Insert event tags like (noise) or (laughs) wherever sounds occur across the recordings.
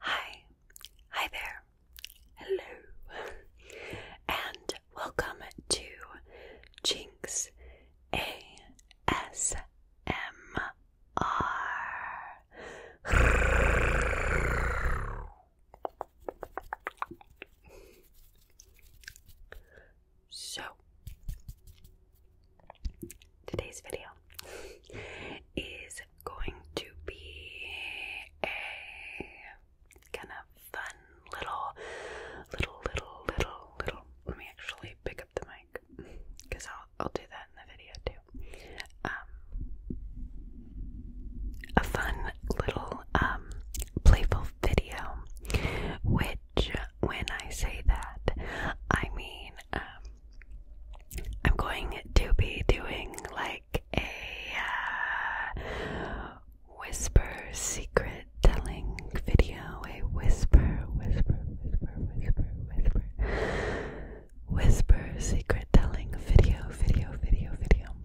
Hi, hi there, hello, and welcome to Jinx ASMR. So, today's video is going to be a kind of fun little, little, little, little, little. Let me actually pick up the mic because I'll I'll do that in the video too. Um, a fun little um playful video, which when I say that, I mean, um, I'm going to be doing like a uh, whisper secret telling video, a whisper, whisper, whisper, whisper, whisper, whisper secret telling video, video, video, video,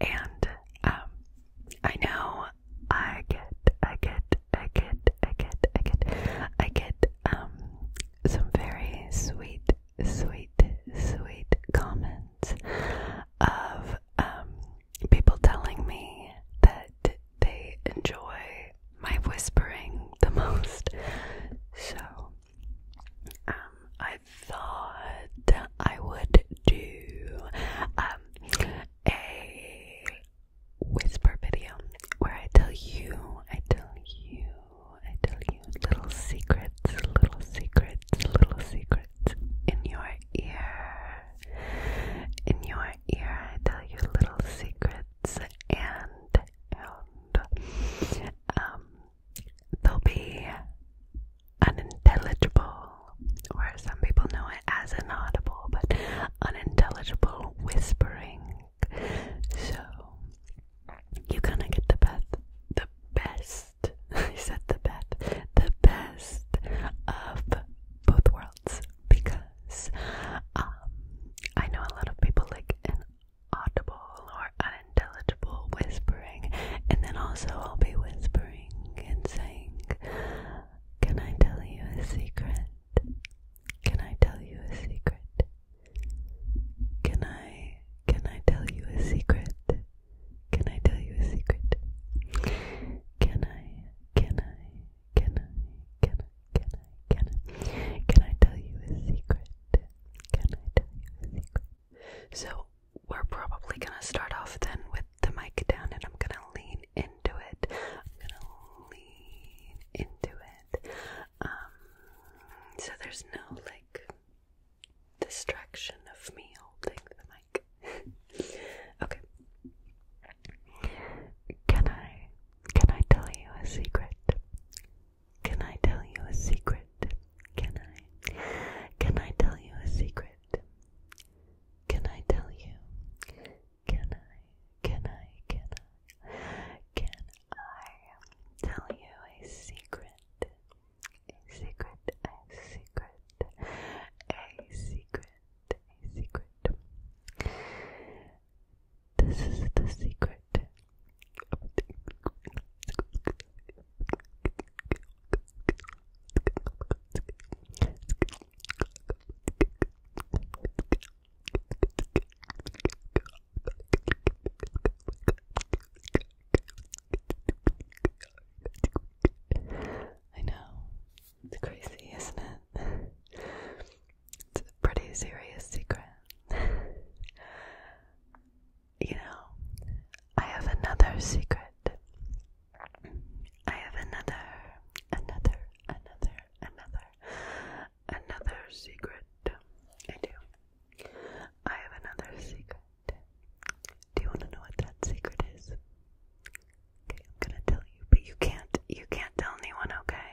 and um, I know I get, I get, I get, I get, I get, I get um some very sweet, sweet, sweet comments of um people telling me that they enjoy my whispering the most. So um, I thought I would do um a whisper video where I tell you, I tell you, I tell you little secrets, little secrets, little secrets in your ear. In your ear, I tell you little secrets and and um they'll be unintelligible, or some people know it as inaudible, but unintelligible whispering. So you are gonna get the best, the best. I (laughs) said the best, the best of both worlds because um, I know a lot of people like inaudible or unintelligible whispering, and then also I'll be whispering and saying, Can I tell you a secret? Can I tell you a secret? Can I can I tell you a secret? Can I tell you a secret? can I can I can I can I can I can I tell you a secret? Can I tell you a secret? So we're probably gonna start off then with the mic down and I'm gonna lean into it. I'm gonna lean into it. Um, so there's no like distraction of me holding the mic. (laughs) okay. Can I can I tell you a secret? Can I tell you a secret? Can I? Can I tell you a secret? Can I tell you? Can I? Can I? Can I? Can I tell you a secret? A secret, a secret, a secret, a secret. This is the secret I know. It's crazy, isn't it? it's a pretty serious secret you know, I have another secret. I have another, another, another, another, another secret. I do. I have another secret. Do you want to know what that secret is? Okay, I'm gonna tell you, but you can't, you can't tell anyone, okay?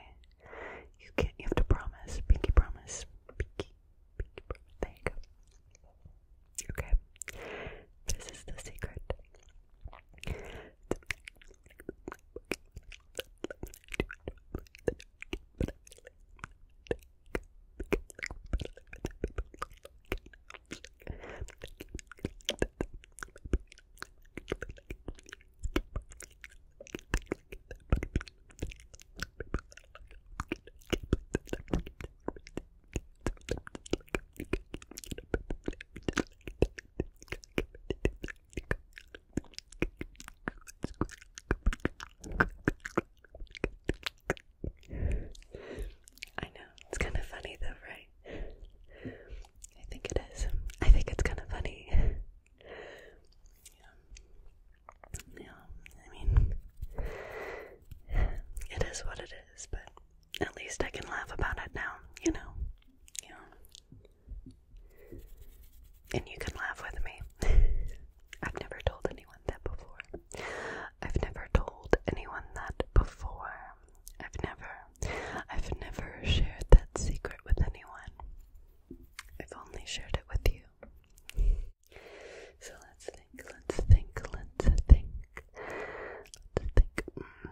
You can't, you have to promise, pinky promise, pinky, pinky promise, there you go. Okay, this is the secret. I know, it's kind of funny though, right? I think it is. I think it's kind of funny. (laughs) yeah. yeah, I mean, it is what it is, but at least I can laugh about it now, you know. You know. And you can laugh with me. (laughs) I've never told anyone that before. I've never told anyone that before. I've never I've never shared that secret with anyone. I've only shared it with you. So let's think, let's think, let's think. Let's think. Mm,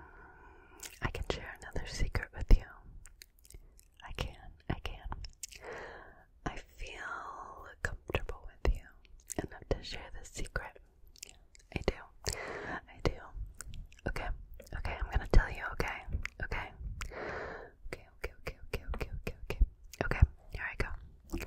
I can share another secret with you. I can, I can. I feel comfortable with you enough to share this secret. I do. I do. Okay. Okay, I'm gonna tell you, okay? Okay. Okay, okay, okay, okay, okay, okay, okay. Okay, here I go.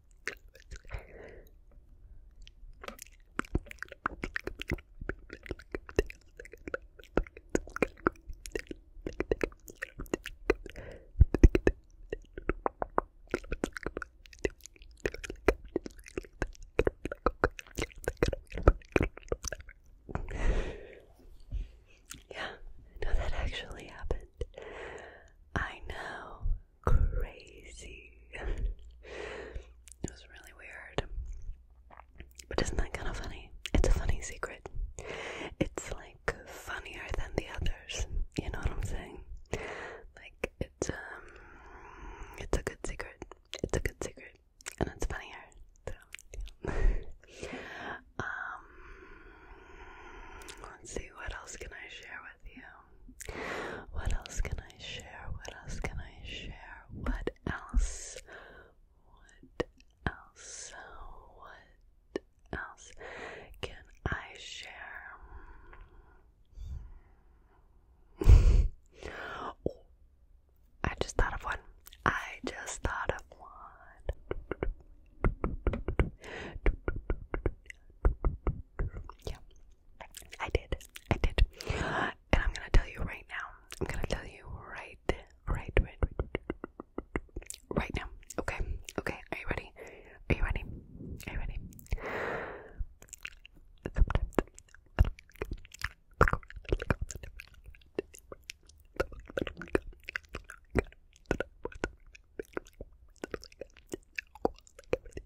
Yeah, no, that actually happened. I know, crazy. it was really weird. But isn't that kind of funny? It's a funny secret. It's like funnier than the others. You know what I'm saying? Like it's um, it's a good secret. It's a good secret, and it's funnier. So, yeah. (laughs) um, let's see what else can I share with you. What else can I share? What else can I share? What else? What else? What else can I share? (laughs) I just thought of one. I just thought of one. (laughs) Yeah. I did. I did. And I'm gonna tell you right now. I'm gonna tell you right, right, right, right, now. Okay. Okay. Are you ready? Are you ready? Are you ready?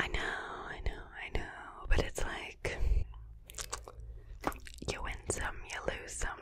I know, I know, I know, but it's like you win some, you lose some,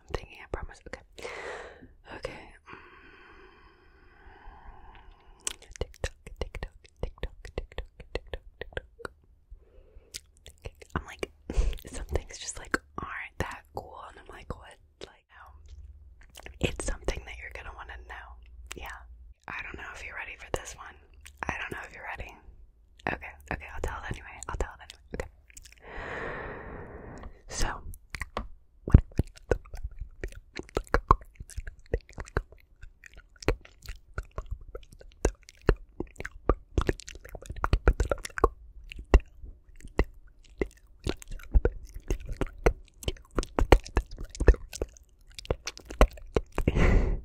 I'm thinking, I promise. Okay. Okay. Mm, tick tock, tick tock, tick tock, tick tock, tick tock, tick tock. I'm like, (laughs) some just like aren't that cool, and I'm like, what? Like, no. Um, it's something that you're gonna want to know. Yeah. I don't know if you're ready for this one. I don't know if you're ready. Okay, okay, I'll tell it anyway. I'll tell it anyway. Okay. So, (laughs) and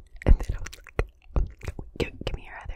give me your other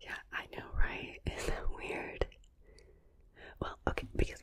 Yeah, I know, right? (laughs) Isn't that weird? Well, okay, because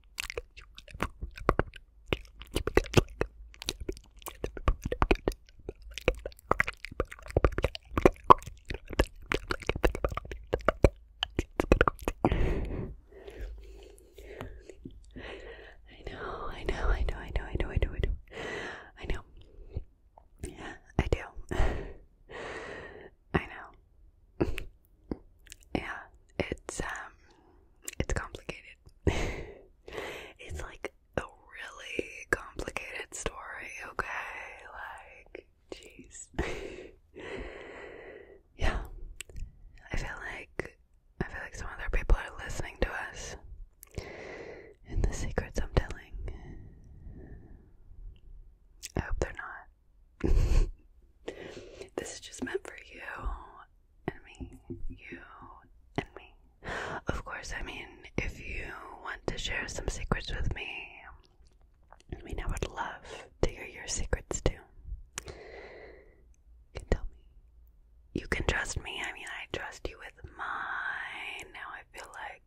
I know, I know, I know, I know, I know, I know, I know. I know. Yeah, I do. I know yeah, it's um, it's complicated. (laughs) it's like a really complicated story. Okay, like, jeez. (laughs) yeah, I feel like I feel like some other people are listening to us and the secrets I'm telling. I hope they're not this is just meant for you and me. You and me. Of course, I mean, if you want to share some secrets with me, I mean, I would love to hear your secrets too. You can tell me. You can trust me. I mean, I trust you with mine. Now I feel like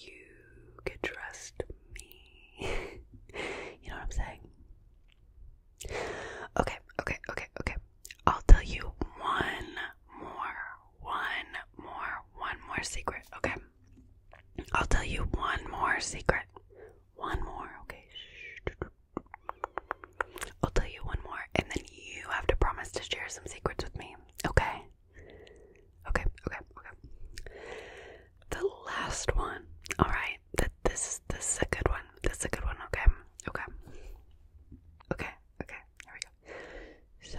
you could trust me (laughs) you know what I'm saying? Okay, okay, okay, okay. I'll tell you one more, one more, one more secret, okay? I'll tell you one more secret. One more, okay? Shh. I'll tell you one more, and then you have to promise to share some secrets with me, okay? Okay, okay, okay the last one. All right, that this this is a good one. This is a good one. Okay, okay, okay, okay. Here we go. So.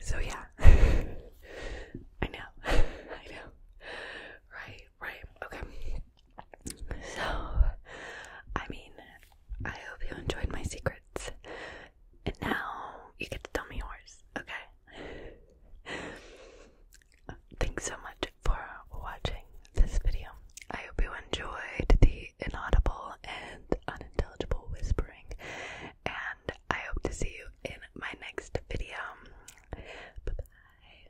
So yeah, (laughs) I know, (laughs) I know, right, right, okay. So, I mean, I hope you enjoyed my secrets and now you get to tell me yours, okay? Thanks so much for watching this video. I hope you enjoyed the inaudible and unintelligible whispering, and I hope to see you in my next video. Bye